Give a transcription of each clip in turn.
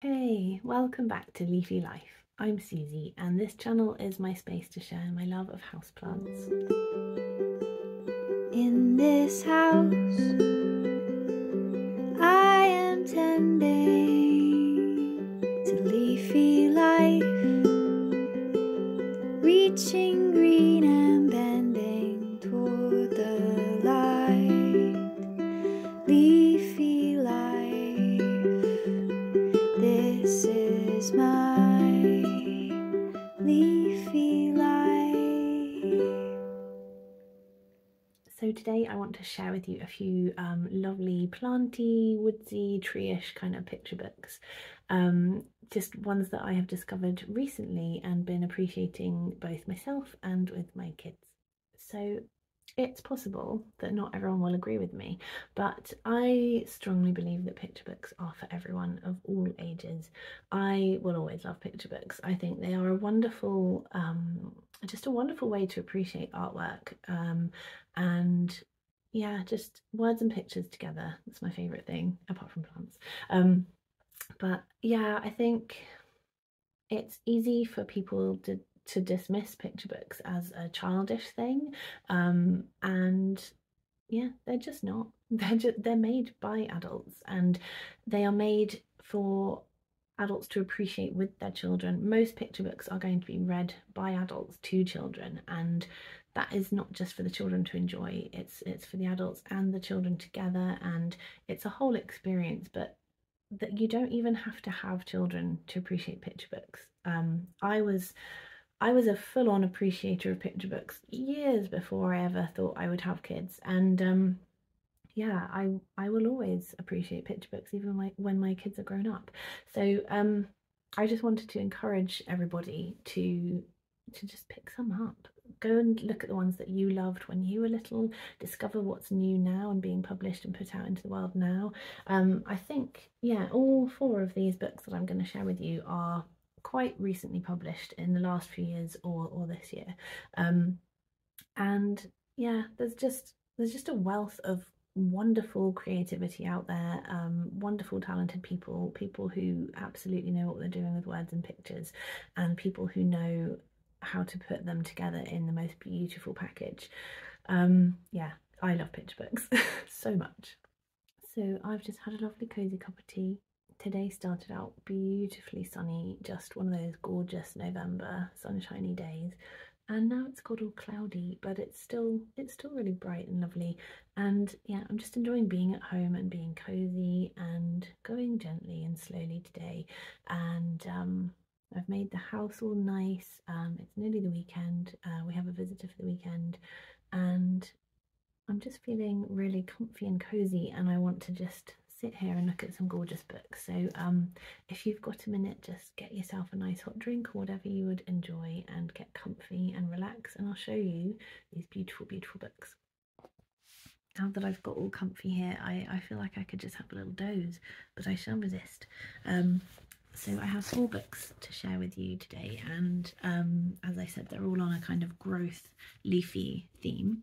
Hey, welcome back to Leafy Life. I'm Susie and this channel is my space to share my love of houseplants. In this house I am tending to leafy life reaching green and bending toward the light leafy life. This is my leafy life. So today I want to share with you a few um, lovely planty, woodsy, tree-ish kind of picture books. Um, just ones that I have discovered recently and been appreciating both myself and with my kids. So it's possible that not everyone will agree with me, but I strongly believe that picture books are for everyone of all ages. I will always love picture books. I think they are a wonderful, um, just a wonderful way to appreciate artwork. Um, and yeah, just words and pictures together. That's my favourite thing, apart from plants. Um, but yeah, I think it's easy for people to, dismiss picture books as a childish thing. Um, and yeah, they're just not. They're, they're made by adults and they are made for adults to appreciate with their children. Most picture books are going to be read by adults to children, and that is not just for the children to enjoy. It's it's for the adults and the children together, and it's a whole experience. But that you don't even have to have children to appreciate picture books. Um, I was I was a full-on appreciator of picture books years before I ever thought I would have kids, and um, yeah, I I will always appreciate picture books even my, when my kids are grown up. So um, I just wanted to encourage everybody to to just pick some up. Go and look at the ones that you loved when you were little. Discover what new now and being published and put out into the world now. Um, I think, yeah, all four of these books that I'm going to share with you are quite recently published in the last few years or, or this year. Um, and yeah, there's just there's just a wealth of wonderful creativity out there, um, wonderful talented people, people who absolutely know what they're doing with words and pictures, and people who know how to put them together in the most beautiful package. Um, yeah, I love picture books so much. So I've just had a lovely cosy cup of tea. Today started out beautifully sunny, just one of those gorgeous November sunshiny days. And now it's got all cloudy, but it's still it's still really bright and lovely. And yeah, I'm just enjoying being at home and being cosy and going gently and slowly today. And um, I've made the house all nice. Um, it's nearly the weekend. Uh, we have a visitor for the weekend, and I'm just feeling really comfy and cozy. And I want to just sit here and look at some gorgeous books. So, um, if you've got a minute, just get yourself a nice hot drink or whatever you would enjoy, and get comfy and relax. And I'll show you these beautiful, beautiful books now that I've got all comfy here, I, I feel like I could just have a little doze but I shall resist. Um, so I have four books to share with you today, and um, as I said, they're all on a kind of growth leafy theme,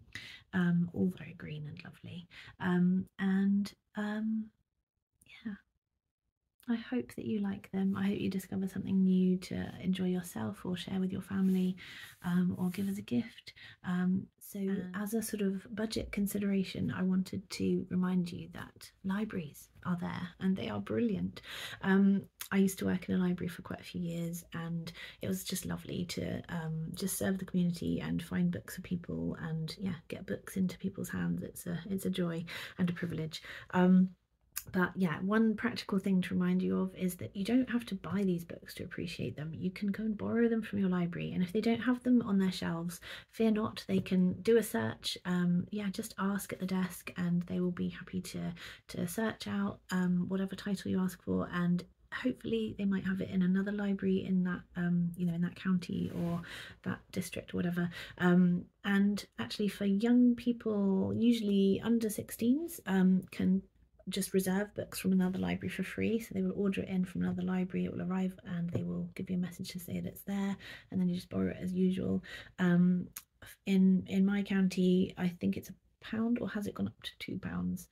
um, all very green and lovely. and yeah, I hope that you like them. I hope you discover something new to enjoy yourself or share with your family, or give as a gift so, as a sort of budget consideration, I wanted to remind you that libraries are there and they are brilliant. Um, I used to work in a library for quite a few years, and it was just lovely to um, just serve the community and find books for people, and yeah, get books into people's hands. It's a it's a joy and a privilege um, but yeah, one practical thing to remind you of is that you don't have to buy these books to appreciate them. You can go and borrow them from your library. And if they don't have them on their shelves, fear not, they can do a search. Um, yeah, just ask at the desk and they will be happy to, to search out um, whatever title you ask for. And hopefully they might have it in another library in that um, you know in that county or that district whatever um, and actually for young people usually under 16s um, can just reserve books from another library for free. So they will order it in from another library, it will arrive and they will give you a message to say that it's there, and then you just borrow it as usual. Um, in in my county, I think it's a pound, or has it gone up to two pounds?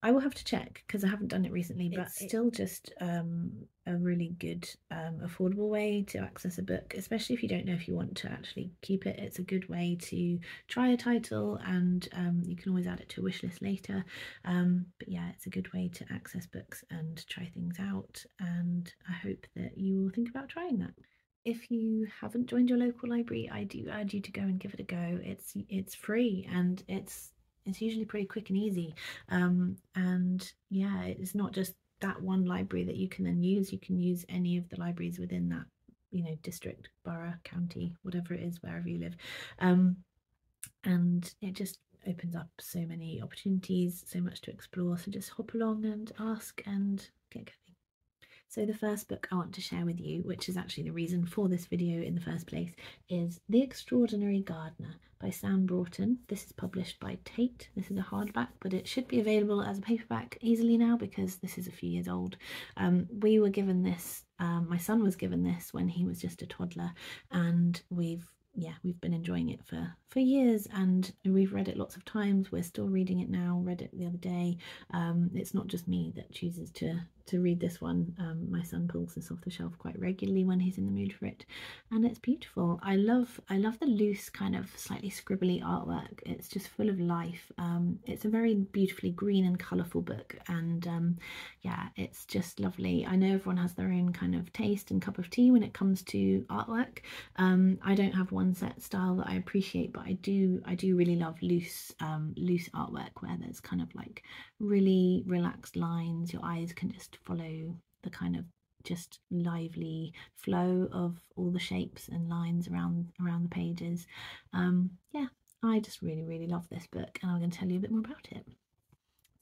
I will have to check because I haven't done it recently, but still just um, a really good, um, affordable way to access a book, especially if you don't know if you want to actually keep it. It's a good way to try a title and um, you can always add it to a wish list later. Um, but yeah, it's a good way to access books and try things out. And I hope that you will think about trying that if you haven't joined your local library, I do urge you to go and give it a go. It's it's free and it's it's usually pretty quick and easy. Um, and yeah, it's not just that one library that you can then use. You can use any of the libraries within that you know district, borough, county, whatever it is, wherever you live and it just opens up so many opportunities, so much to explore. So just hop along and ask and get going. So the first book I want to share with you, which is actually the reason for this video in the first place, is The Extraordinary Gardener by Sam Broughton. This is published by Tate. This is a hardback, but it should be available as a paperback easily now because this is a few years old. Um, we were given this um, my son was given this when he was just a toddler, and we've yeah we've been enjoying it for for years and we've read it lots of times we're still reading it now read it the other day um, it's not just me that chooses to to read this one um, my son pulls this off the shelf quite regularly when he's in the mood for it and it's beautiful i love i love the loose kind of slightly scribbly artwork it's just full of life it's a very beautifully green and colorful book and yeah, it's just lovely. I know everyone has their own kind of taste and cup of tea when it comes to artwork. Um, I don't have one set style that I appreciate, but I do I do really love loose um, loose artwork where there's kind of like really relaxed lines. Your eyes can just follow the kind of just lively flow of all the shapes and lines around around the pages um, yeah I just really, really love this book and I'm going to tell you a bit more about it.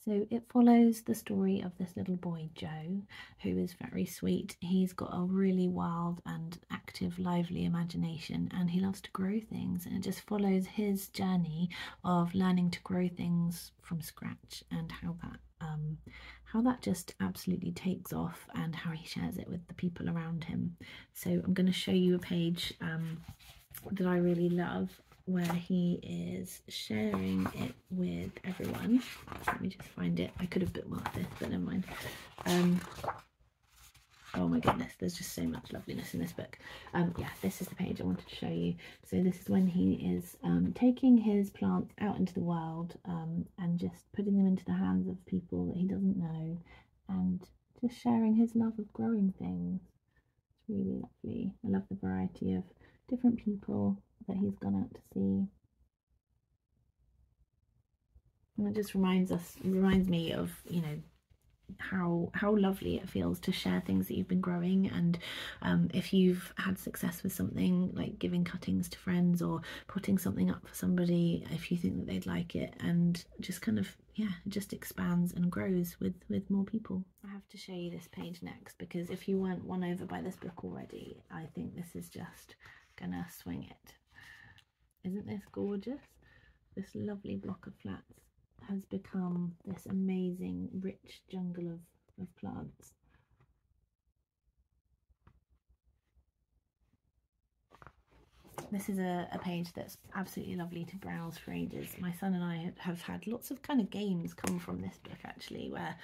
So it follows the story of this little boy, Joe, who is very sweet. He's got a really wild and active, lively imagination, and he loves to grow things. And it just follows his journey of learning to grow things from scratch and how that. Um, how that just absolutely takes off and how he shares it with the people around him. So I'm going to show you a page um, that I really love where he is sharing it with everyone. Let me just find it. I could have bookmarked this, but never mind. Um, oh my goodness, there's just so much loveliness in this book. Um, yeah, this is the page I wanted to show you. So this is when he is taking his plants out into the world and just putting them into the hands of people that he doesn't know and just sharing his love of growing things. It's really lovely. I love the variety of different people that he's gone out to see. And it just reminds us, reminds me of, you know, how how lovely it feels to share things that you've been growing and um, if you've had success with something like giving cuttings to friends or putting something up for somebody if you think that they'd like it and just kind of yeah it just expands and grows with with more people i have to show you this page next because if you weren't won over by this book already i think this is just gonna swing it isn't this gorgeous this lovely block of flats has become this amazing rich jungle of, of plants this is a, page that's absolutely lovely to browse for ages. My son and I have had lots of kind of games come from this book actually, where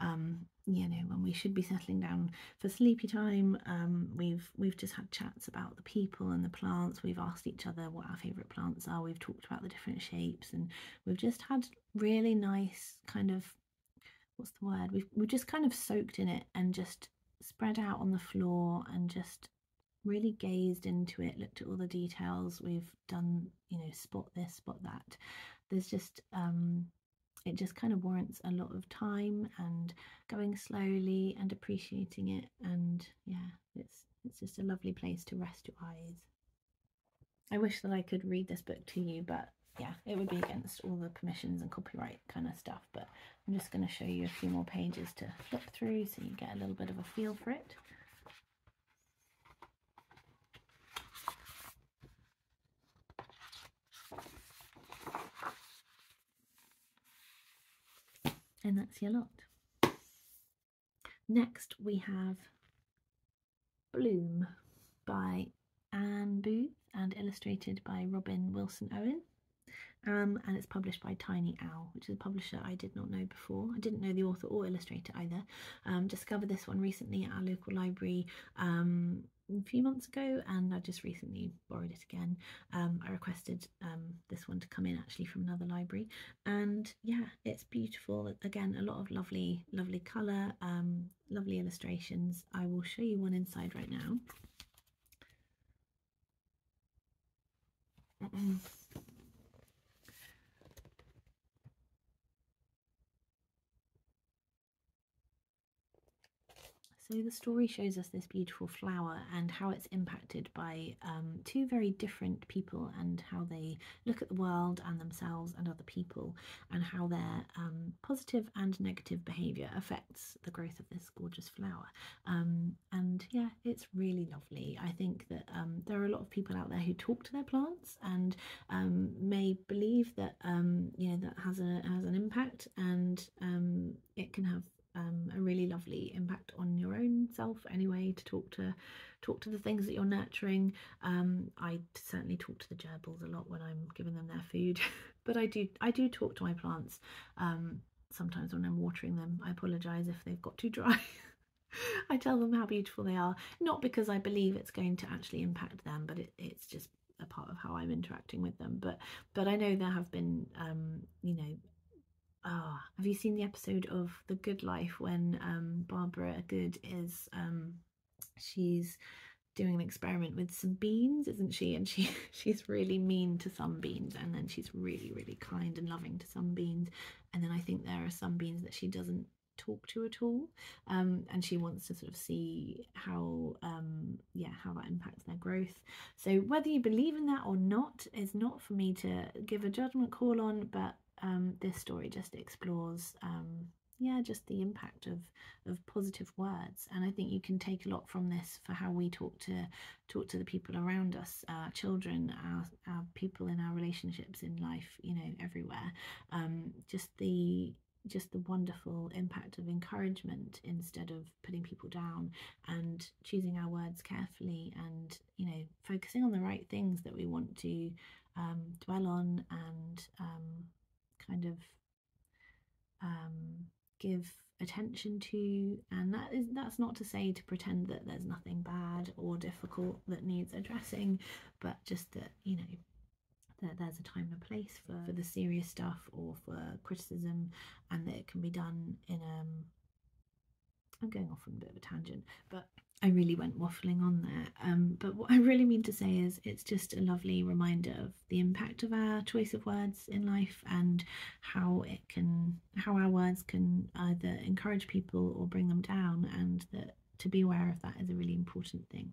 um, you know when we should be settling down for sleepy time um, we've we've just had chats about the people and the plants we've asked each other what our favorite plants are we've talked about the different shapes and we've just had really nice kind of what's the word we've we've just kind of soaked in it and just spread out on the floor and just really gazed into it, looked at all the details. We've done, you know, spot this, spot that. There's just, um, it just kind of warrants a lot of time and going slowly and appreciating it. And yeah, it's it's just a lovely place to rest your eyes. I wish that I could read this book to you, but yeah, it would be against all the permissions and copyright kind of stuff but I'm just going to show you a few more pages to flip through so you get a little bit of a feel for it. And that's your lot. Next we have Bloom by Anne Booth and illustrated by Robin Wilson Owen. Um, and it's published by Tiny Owl, which is a publisher I did not know before. I didn't know the author or illustrator either. Um, discovered this one recently at our local library um, a few months ago, and I just recently borrowed it again. I requested this one to come in actually from another library, and yeah, it's beautiful. Again, a lot of lovely, lovely colour, lovely illustrations. I will show you one inside right now. So the story shows us this beautiful flower and how it's impacted by um, two very different people and how they look at the world and themselves and other people and how their um, and negative behaviour affects the growth of this gorgeous flower. Um, um, and yeah, it's really lovely. I think that um, there are a lot of people out there who talk to their plants and um, may believe that um, you know that has a has an impact, and it can have a really lovely impact on your own self anyway to talk to talk to the things that you're nurturing i certainly talk to the gerbils a lot when i'm giving them their food but i do i do talk to my plants sometimes when I'm watering them, I apologise if they've got too dry. I tell them how beautiful they are, not because I believe it's going to actually impact them, but it's just a part of how I'm interacting with them. But but I know there have been, um, you know, ah, have you seen the episode of The Good Life when um, Barbara Good is um, she's doing an experiment with some beans, isn't she? And she she's really mean to some beans and then she's really, really kind and loving to some beans. And then I think there are some beans that she doesn't talk to at all um, and she wants to sort of see how um, yeah how that impacts their growth so whether you believe in that or not is not for me to give a judgment call on but um, this story just explores yeah just the impact of of positive words and i think you can take a lot from this for how we talk to talk to the people around us, our children, our, people in our relationships in life, you know, everywhere. Um, just the just the wonderful impact of encouragement instead of putting people down and choosing our words carefully and you know focusing on the right things that we want to um, dwell on and um, kind of um, give attention to and that is that's not to say to pretend that there's nothing bad or difficult that needs addressing but just that you know that there's a time and place for, for the serious stuff or for criticism and that it can be done in um i'm going off on a bit of a tangent but i really went waffling on there um but what i really mean to say is it's just a lovely reminder of the impact of our choice of words in life and how it can how our words can either encourage people or bring them down, and that to be aware of that is a really important thing.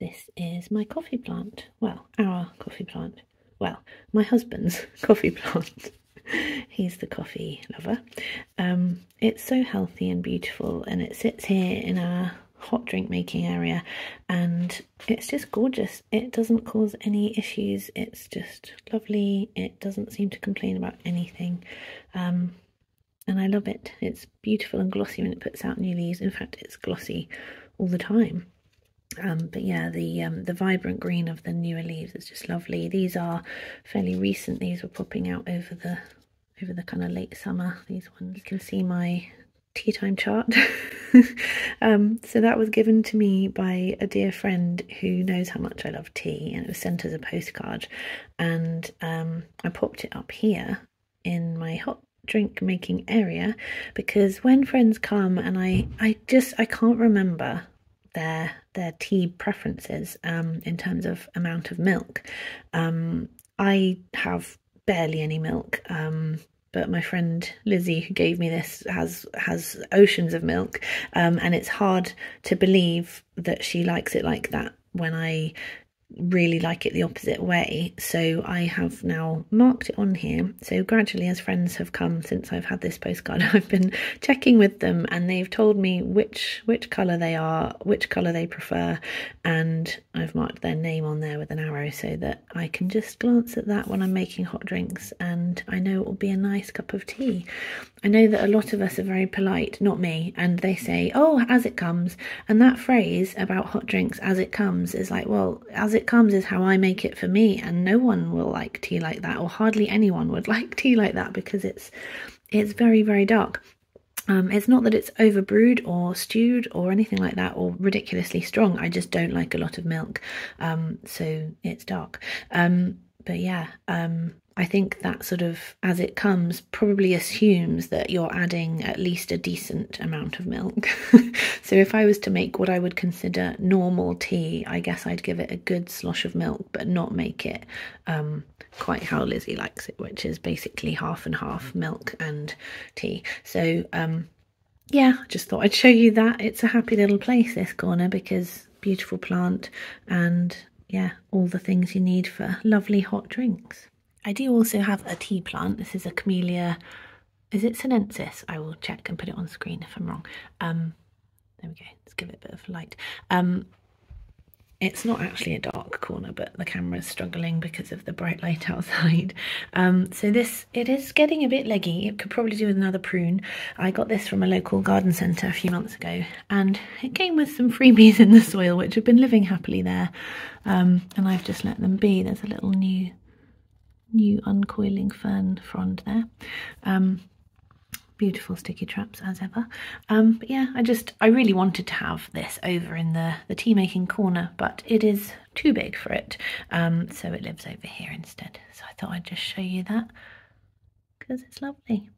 This is my coffee plant. Well, our coffee plant. Well, my husband's coffee plant. He's the coffee lover. Um, it's so healthy and beautiful, and it sits here in our hot drink making area and it's just gorgeous it doesn't cause any issues it's just lovely it doesn't seem to complain about anything um, and I love it it's beautiful and glossy when it puts out new leaves in fact it's glossy all the time um, but yeah the um, the vibrant green of the newer leaves is just lovely these are fairly recent these were popping out over the over the kind of late summer these ones you can see my tea time chart. um, so that was given to me by a dear friend who knows how much I love tea, and it was sent as a postcard. And um, I popped it up here in my hot drink making area because when friends come and I, I just I can't remember their their tea preferences um, in terms of amount of milk. Um, I have barely any milk. Um, but my friend Lizzie, who gave me this, has has oceans of milk, um, and it's hard to believe that she likes it like that when I really like it the opposite way. So I have now marked it on here. So gradually, as friends have come since I've had this postcard, I've been checking with them, and they've told me which which colour they are, which colour they prefer, and I've marked their name on there with an arrow so that I can just glance at that when I'm making hot drinks and I know it will be a nice cup of tea. I know that a lot of us are very polite, not me, and they say, oh, as it comes. And that phrase about hot drinks, as it comes, is like, well, as it comes is how I make it for me and no one will like tea like that or hardly anyone would like tea like that because it's it's very, very dark. Um, it's not that it's overbrewed or stewed or anything like that or ridiculously strong. I just don't like a lot of milk, um, so it's dark. Um, but yeah, I think that sort of, as it comes, probably assumes that you're adding at least a decent amount of milk. so if I was to make what I would consider normal tea, I guess I'd give it a good slosh of milk, but not make it quite how Lizzie likes it, which is basically half and half milk and tea. So um, yeah, just thought I'd show you that. It's a happy little place, this corner, because beautiful plant and yeah, all the things you need for lovely hot drinks. I do also have a tea plant. This is a camellia, is it sinensis? I will check and put it on screen if I'm wrong. Um, there we go, let's give it a bit of light. Um, it's not actually a dark corner but the camera is struggling because of the bright light outside um, so this it is getting a bit leggy it could probably do with another prune I got this from a local garden centre a few months ago and it came with some freebies in the soil which have been living happily there um, and I've just let them be there's a little new new uncoiling fern frond there um, beautiful sticky traps as ever but yeah I just I really wanted to have this over in the, the tea making corner, but it is too big for it, um, so it lives over here instead. So I thought I'd just show you that because it's lovely.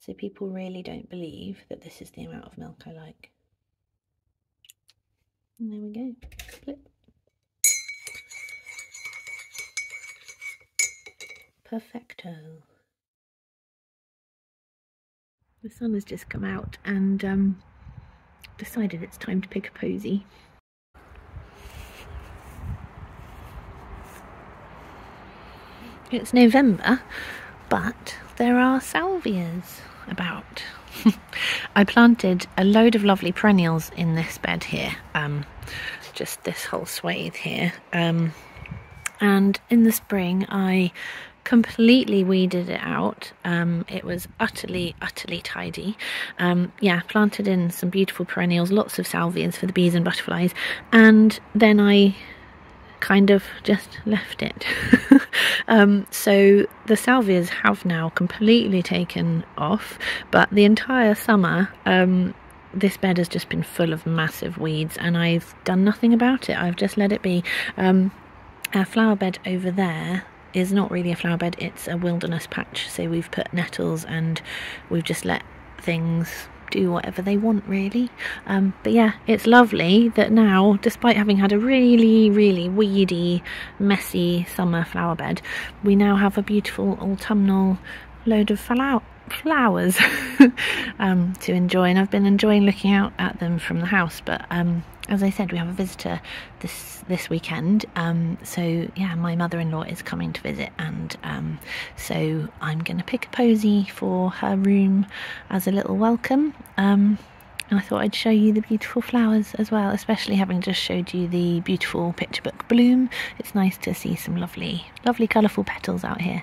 So people really don't believe that this is the amount of milk I like. And there we go. Perfecto. The sun has just come out and um, decided it's time to pick a posy. It's November, but there are salvias about. I planted a load of lovely perennials in this bed here, um, just this whole swathe here. Um, and in the spring, I completely weeded it out. Um, it was utterly, utterly tidy. Um, yeah, planted in some beautiful perennials, lots of salvias for the bees and butterflies. And then I kind of just left it. Um, so the salvias have now completely taken off, but the entire summer, this bed has just been full of massive weeds and I've done nothing about it. I've just let it be. Um, our flower bed over there is not really a flower bed, it's a wilderness patch. So we've put nettles and we've just let things do whatever they want really um, but yeah it's lovely that now despite having had a really really weedy messy summer flower bed we now have a beautiful autumnal load of fall out flowers um, to enjoy and I've been enjoying looking out at them from the house but um, as I said we have a visitor this this weekend um, so yeah my mother-in-law is coming to visit and so I'm gonna pick a posy for her room as a little welcome and I thought I'd show you the beautiful flowers as well, especially having just showed you the beautiful picture book bloom. It's nice to see some lovely, lovely colourful petals out here.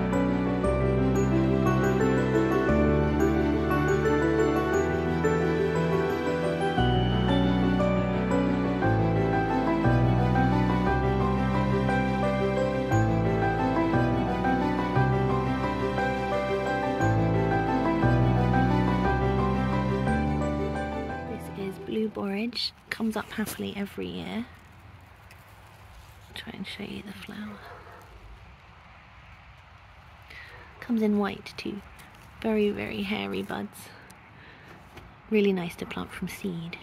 blue borage comes up happily every year. I'll try and show you the flower. Comes in white too. Very, very hairy buds. Really nice to plant from seed.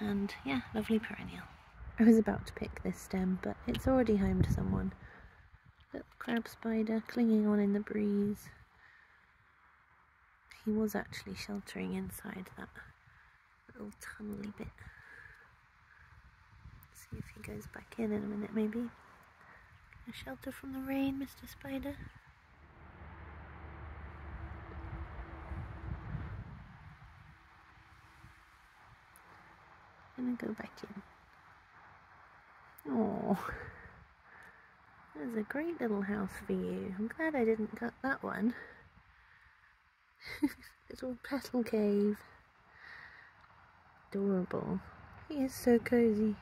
And yeah, lovely perennial. I was about to pick this stem, but it's already home to someone. Little crab spider clinging on in the breeze. He was actually sheltering inside that little tunnely bit. see if he goes back in in a minute, maybe. A shelter from the rain, Mr. Spider. i gonna go back in. Oh, there's a great little house for you. I'm glad I didn't cut that one. Little petal cave. Adorable. He is so cozy.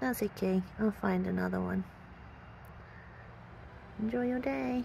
That's okay. I'll find another one. Enjoy your day.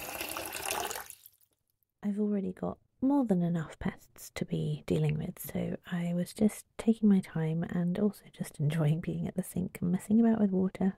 I've already got more than enough pests to be dealing with, so I was just taking my time and also just enjoying being at the sink and messing about with water.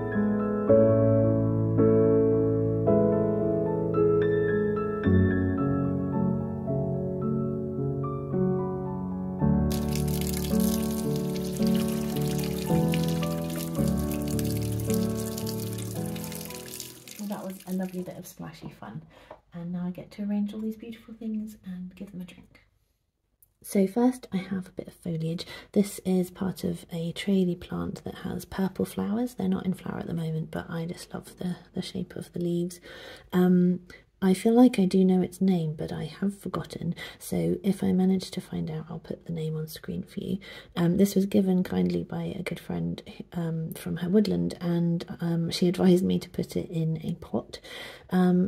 that was a lovely bit of splashy fun. And now I get to arrange all these beautiful things and give them a drink. So first I have a bit of foliage. This is part of a traily plant that has purple flowers. They're not in flower at the moment, but I just love the, the shape of the leaves. Um, I feel like I do know its name, but I have forgotten, so if I manage to find out, I'll put the name on screen for you. Um, this was given kindly by a good friend um, from her woodland, and she advised me to put it in a pot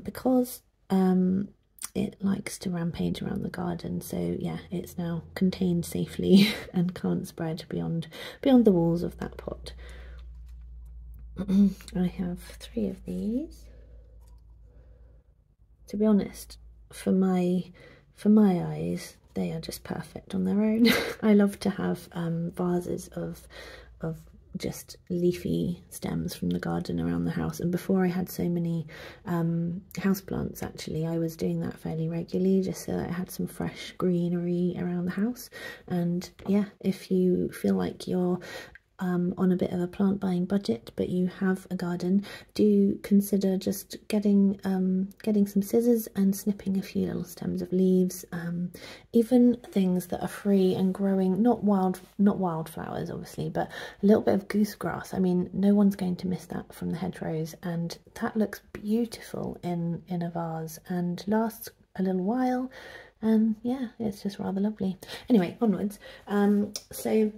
because um, it likes to rampage around the garden so yeah it's now contained safely and can't spread beyond beyond the walls of that pot i have three of these to be honest for my for my eyes they are just perfect on their own i love to have um, vases of of just leafy stems from the garden around the house and before i had so many um, plants. actually. I was doing that fairly regularly just so that I had some fresh greenery around the house. And yeah, if you feel like you're um, on a bit of a plant buying budget but you have a garden do consider just getting um, getting some scissors and snipping a few little stems of leaves um, even things that are free and growing not wild not wildflowers obviously, but a little bit of goosegrass. I mean, no one's going to miss that from the hedgerows and that looks beautiful in, in a vase and lasts a little while and yeah, it's just rather lovely. Anyway, onwards. Um, so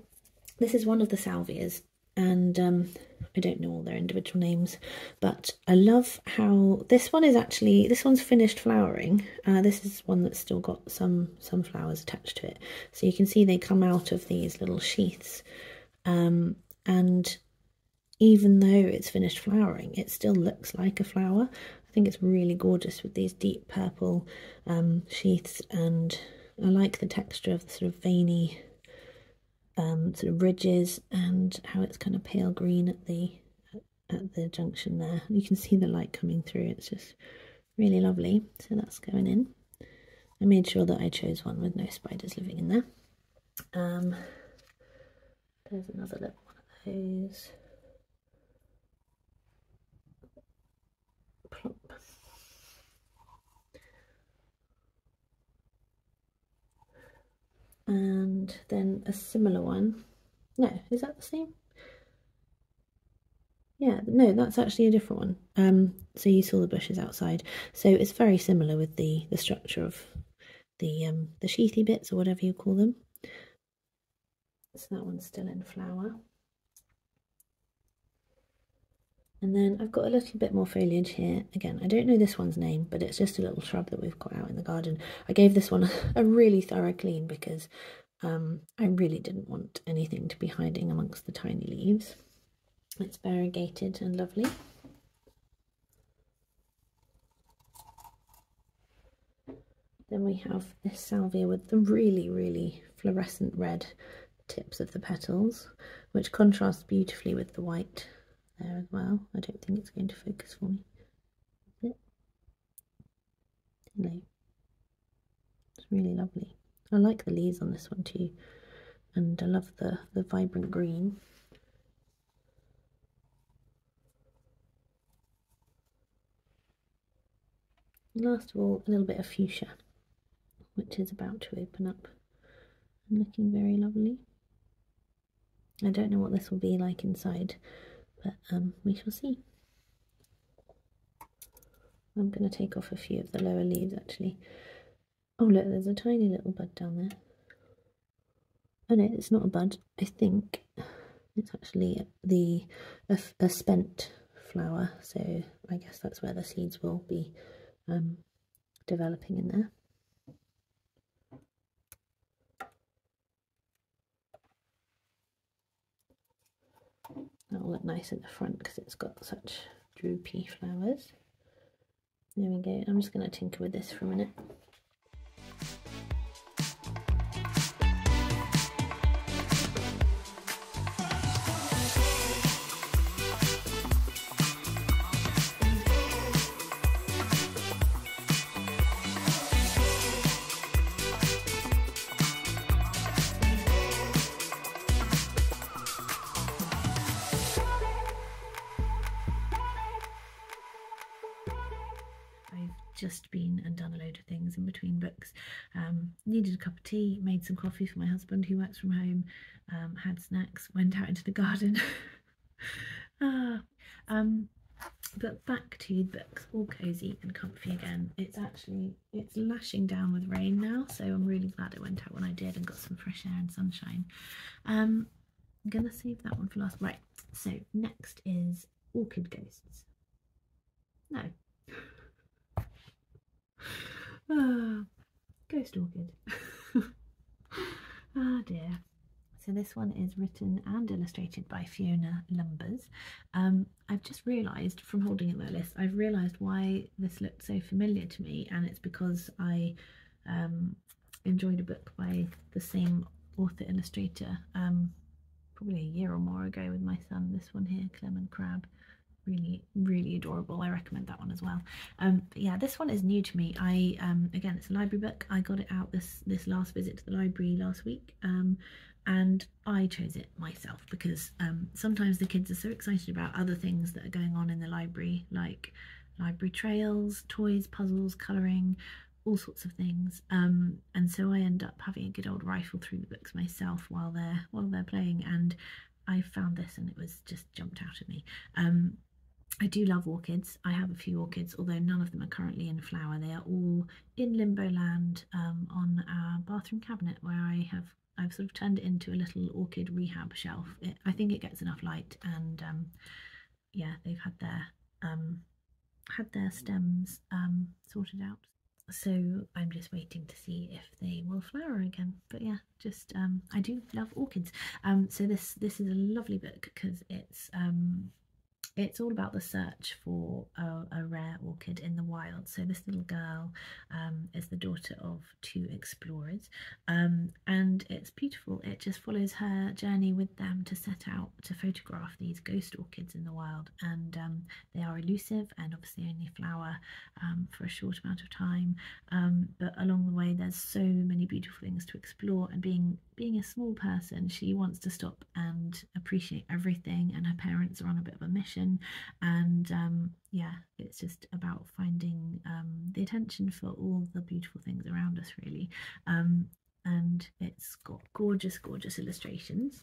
this is one of the salvias and um, I don't know all their individual names, but I love how this one is actually this one's finished flowering. Uh, this is one that's still got some some flowers attached to it, so you can see they come out of these little sheaths. Um, and even though it's finished flowering, it still looks like a flower. I think it's really gorgeous with these deep purple um, sheaths and I like the texture of the sort of veiny um, sort of ridges and how it's kind of pale green at the at the junction there. You can see the light coming through. It's just really lovely. So that's going in. I made sure that I chose one with no spiders living in there. Um, there's another little one of those. And then a similar one. No, is that the same? Yeah, no, that's actually a different one. Um, so you saw the bushes outside. So it's very similar with the the structure of the um, the sheathy bits or whatever you call them. So that one's still in flower. And then I've got a little bit more foliage here. Again, I don't know this one's name, but it's just a little shrub that we've got out in the garden. I gave this one a really thorough clean because um, I really didn't want anything to be hiding amongst the tiny leaves. It's variegated and lovely. Then we have this salvia with the really, really fluorescent red tips of the petals, which contrasts beautifully with the white there as well. I don't think it's going to focus for me it's really lovely. I like the leaves on this one too, and I love the the vibrant green. last of all, a little bit of fuchsia, which is about to open up and looking very lovely. I don't know what this will be like inside, but um, we shall see. I'm going to take off a few of the lower leaves actually. Oh look, there's a tiny little bud down there. Oh no, it's not a bud. I think it's actually the a, spent flower. So I guess that's where the seeds will be um, developing in there. That'll look nice in the front because it's got such droopy flowers. There we go. I'm just going to tinker with this for a minute. I've just been and done a load of things in between books. Um, needed a cup of tea, made some coffee for my husband who works from home, um, had snacks, went out into the garden. ah, um, but back to the books, all cosy and comfy again. It's actually it's lashing down with rain now, so I'm really glad it went out when I did and got some fresh air and sunshine. Um, I'm going to save that one for last. Right, so next is Orchid Ghosts. No. Ah, ghost Orchid. ah dear. So this one is written and illustrated by Fiona Lumbers. Um, I've just realised from holding at the list, I've realised why this looked so familiar to me, and it's because I um, enjoyed a book by the same author illustrator um, probably a year or more ago with my son. This one here, Clement Crab, really really adorable. I recommend that one as well. Um, yeah, this one is new to me. I again, it's a library book. I got it out this this last visit to the library last week, and I chose it myself because um, sometimes the kids are so excited about other things that are going on in the library, like library trails, toys, puzzles, colouring, all sorts of things. Um, and so I end up having a good old rifle through the books myself while they're while they're playing. And I found this, and it was just jumped out at me. Um, I do love orchids. I have a few orchids, although none of them are currently in flower. They are all in Limbo Land um, on our bathroom cabinet where I have I've sort of turned it into a little orchid rehab shelf. I think it gets enough light and um, yeah, they've had their um, had their stems sorted out. So I'm just waiting to see if they will flower again. But yeah, just I do love orchids. so this this is a lovely book because it's it's all about the search for a, rare orchid in the wild. So this little girl um, is the daughter of two explorers, um, and it's beautiful. It just follows her journey with them to set out to photograph these ghost orchids in the wild, and um, they are elusive and obviously only flower for a short amount of time. but along the way, there's so many beautiful things to explore, and being being a small person, she wants to stop and appreciate everything. And her parents are on a bit of a mission. And um, yeah, it's just about finding um, the attention for all the beautiful things around us, really. Um, and it's got gorgeous, gorgeous illustrations.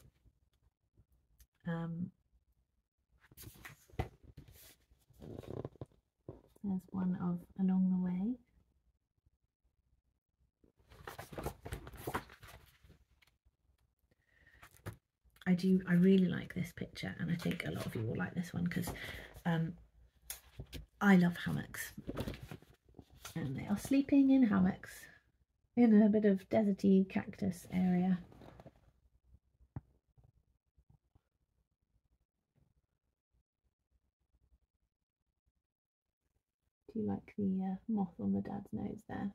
there's one of Along the Way. I do, I really like this picture, and I think a lot of you will like this one because um, I love hammocks. And they are sleeping in hammocks in a bit of deserty cactus area. Do you like the uh, moth on the dad's nose there?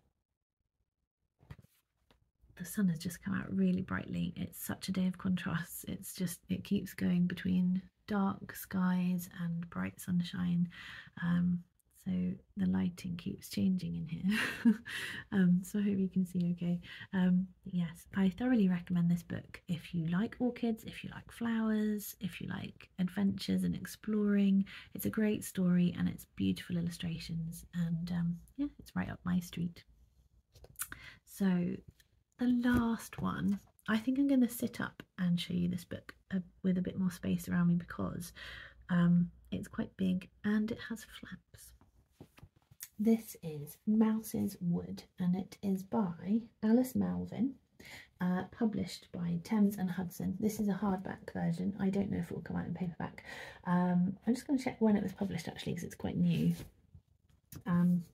The sun has just come out really brightly. It's such a day of contrasts. It's just, it keeps going between dark skies and bright sunshine. Um, so the lighting keeps changing in here. Um, so I hope you can see okay. Um, yes, I thoroughly recommend this book if you like orchids, if you like flowers, if you like adventures and exploring. It's a great story and it's beautiful illustrations and um, yeah it's right up my street so the last one i think i'm going to sit up and show you this book uh, with a bit more space around me because um, it's quite big and it has flaps this is mouse's wood and it is by alice malvin uh, published by Thames and Hudson. This is a hardback version. I don't know if it will come out in paperback. Um, I'm just going to check when it was published actually because it's quite new. Um,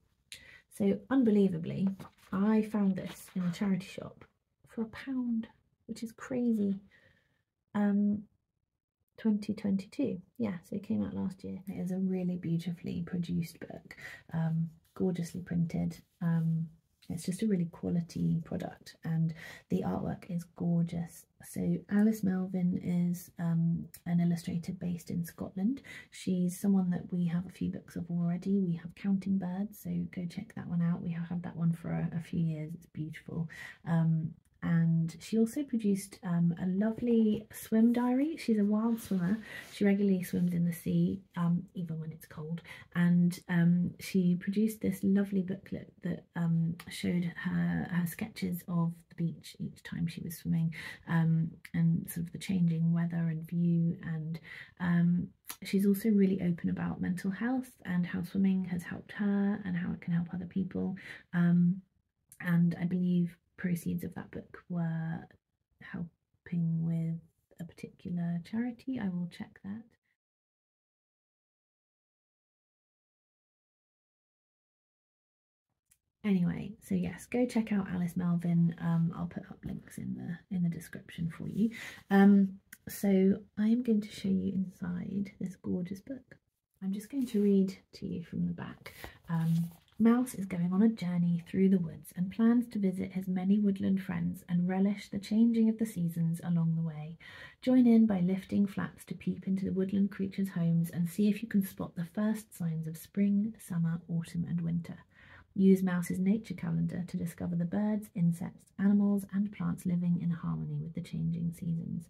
so unbelievably, I found this in a charity shop for a pound, which is crazy. Um, 2022. Yeah, so it came out last year. It is a really beautifully produced book, gorgeously printed it's just a really quality product and the artwork is gorgeous so alice melvin is um, an illustrator based in scotland she's someone that we have a few books of already we have counting birds so go check that one out we have had that one for a, few years it's beautiful um, and she also produced um, a lovely swim diary. She's a wild swimmer. She regularly swims in the sea, even when it's cold. And she produced this lovely booklet that um, showed her her sketches of the beach each time she was swimming, um, and sort of the changing weather and view. And um, she's also really open about mental health and how swimming has helped her and how it can help other people. and I believe proceeds of that book were helping with a particular charity. I will check that. Anyway, so yes, go check out Alice Melvin. Um, I'll put up links in the in the description for you. Um, so I am going to show you inside this gorgeous book. I'm just going to read to you from the back. Um, Mouse is going on a journey through the woods and plans to visit his many woodland friends and relish the changing of the seasons along the way. Join in by lifting flaps to peep into the woodland creatures' homes and see if you can spot the first signs of spring, summer, autumn, and winter. Use Mouse's nature calendar to discover the birds, insects, animals, and plants living in harmony with the changing seasons.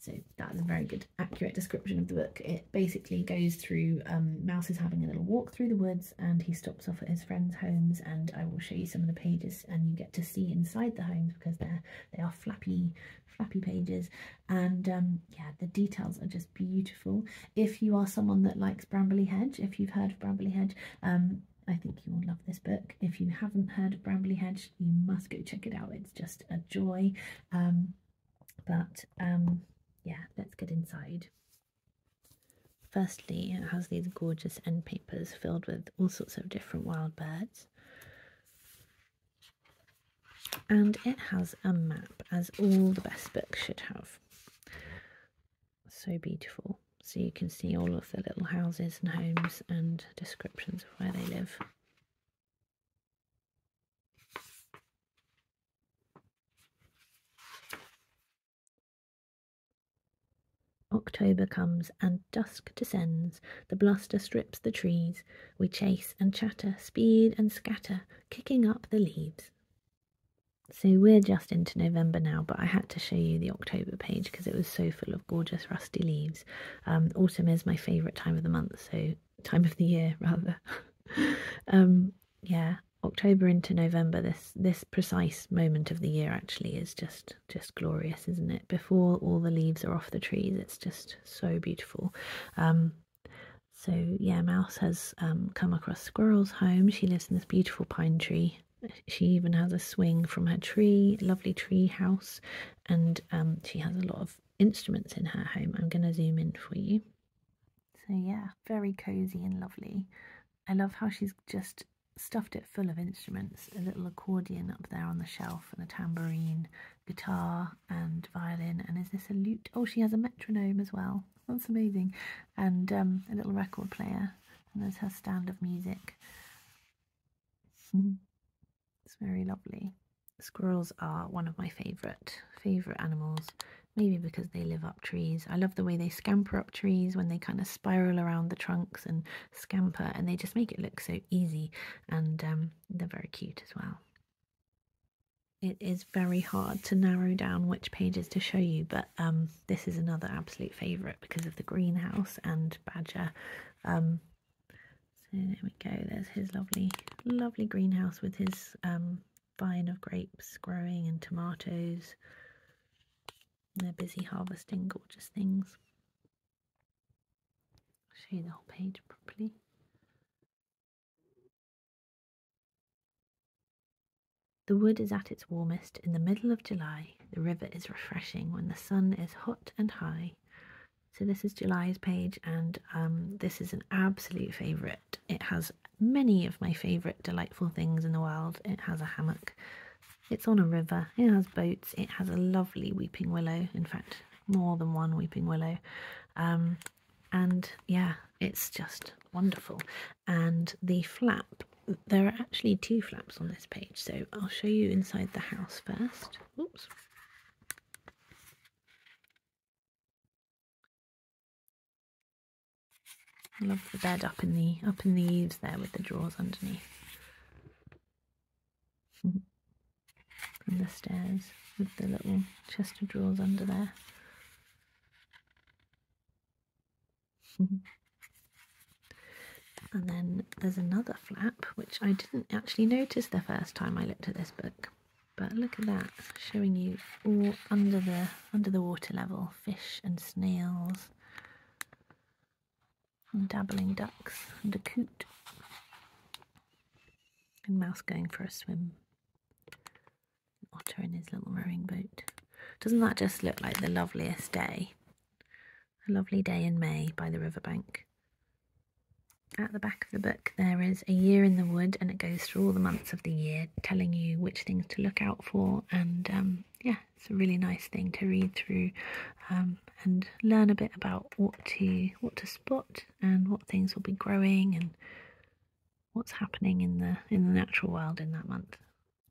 So that is a very good, accurate description of the book. It basically goes through, um, Mouse is having a little walk through the woods and he stops off at his friends' homes and I will show you some of the pages and you get to see inside the homes because they're they are flappy flappy pages and um yeah the details are just beautiful if you are someone that likes brambley hedge if you've heard of brambley hedge um I think you will love this book. If you haven't heard of Brambley Hedge, you must go check it out. It's just a joy. Um, but um, yeah, let's get inside. Firstly, it has these gorgeous end papers filled with all sorts of different wild birds. And it has a map, as all the best books should have. So beautiful. So you can see all of the little houses and homes and descriptions of where they live. October comes and dusk descends, the bluster strips the trees. We chase and chatter, speed and scatter, kicking up the leaves. So we're just into November now, but I had to show you the October page because it was so full of gorgeous rusty leaves. Um, autumn is my favourite time of the month, so time of the year rather. Um, yeah, October into November, this this precise moment of the year actually is just just glorious, isn't it? Before all the leaves are off the trees, it's just so beautiful. Um, so yeah, Mouse has um, come across Squirrel's home. She lives in this beautiful pine tree. She even has a swing from her tree, lovely tree house, and um, she has a lot of instruments in her home. I'm going to zoom in for you. So yeah, very cozy and lovely. I love how she's just stuffed it full of instruments a little accordion up there on the shelf, and a tambourine, guitar, and violin. And is this a lute? Oh, she has a metronome as well. That's amazing. And um, a little record player. And there's her stand of music. Mm-hmm. it's very lovely. Squirrels are one of my favourite favourite animals. Maybe because they live up trees. I love the way they scamper up trees when they kind of spiral around the trunks and scamper and they just make it look so easy and um, they're very cute as well. It is very hard to narrow down which pages to show you, but um, this is another absolute favourite because of the greenhouse and badger. Um, so there we go, there's his lovely, lovely greenhouse with his vine of grapes growing and tomatoes. They're busy harvesting gorgeous things. Show the whole page properly. The wood is at its warmest in the middle of July. The river is refreshing when the sun is hot and high. So this is July's page, and um, this is an absolute favourite. It has many of my favourite delightful things in the world. It has a hammock it's on a river, it has boats, it has a lovely weeping willow, in fact, more than one weeping willow. Um, and yeah, it's just wonderful. And the flap, there are actually two flaps on this page, so I'll show you inside the house first. Oops. I love the bed up in the up in the eaves there with the drawers underneath. Mm-hmm. From the stairs with the little chest of drawers under there. Mm-hmm. and then there's another flap which I didn't actually notice the first time I looked at this book. But look at that, showing you all under the under the water level, fish and snails and dabbling ducks and a coot and mouse going for a swim otter in his little rowing boat doesn't that just look like the loveliest day a lovely day in may by the riverbank at the back of the book there is a year in the wood and it goes through all the months of the year telling you which things to look out for and um, yeah it's a really nice thing to read through um, and learn a bit about what to what to spot and what things will be growing and what's happening in the in the natural world in that month.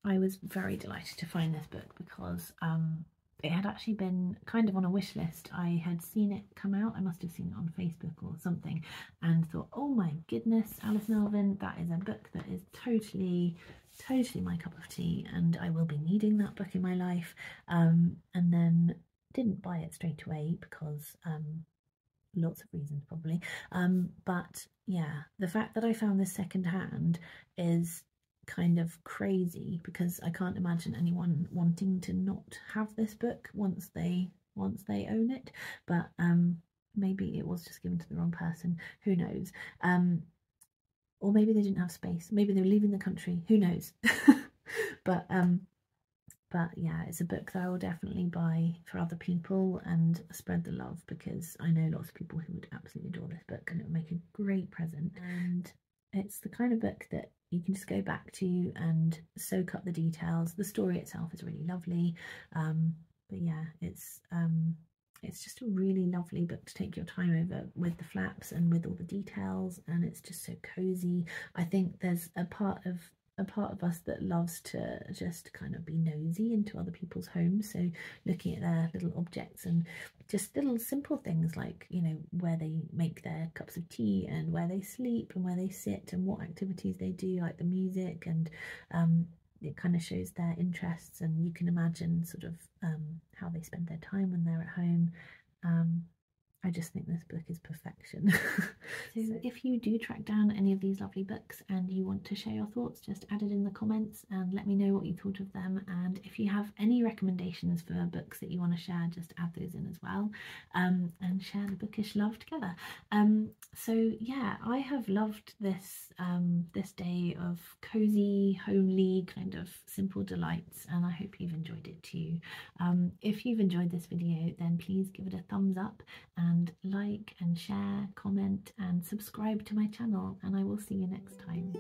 I was very delighted to find this book because um, it had actually been kind of on a wish list. I had seen it come out. I must have seen it on Facebook or something, and thought, "Oh my goodness, Alice Melvin! That is a book that is totally totally my cup of tea, and I will be needing that book in my life. Um, and then didn't buy it straight away because um, lots of reasons probably. Um, but yeah, the fact that I found this secondhand is kind of crazy because I can't imagine anyone wanting to not have this book once they once they own it. But maybe it was just given to the wrong person. Who knows? or maybe they didn't have space maybe they were leaving the country who knows but um but yeah it's a book that i will definitely buy for other people and spread the love because i know lots of people who would absolutely adore this book and it would make a great present and mm. it's the kind of book that you can just go back to and soak up the details the story itself is really lovely um but yeah it's um it's just a really lovely book to take your time over with the flaps and with all the details and it's just so cozy i think there's a part of a part of us that loves to just kind of be nosy into other people's homes so looking at their little objects and just little simple things like you know where they make their cups of tea and where they sleep and where they sit and what activities they do like the music and um, it kind of shows their interests and you can imagine sort of um, how they spend their time when they're at home um, i just think this book is perfection so, if you do track down any of these lovely books and you want to share your thoughts just add it in the comments and let me know what you thought of them and if you have any recommendations for books that you want to share just add those in as well um, and share the bookish love together um, so yeah i have loved this um, this day of cozy, homely kind of simple delights, and I hope you've enjoyed it too. Um, if you've enjoyed this video, then please give it a thumbs up and like and share, comment and subscribe to my channel, and I will see you next time.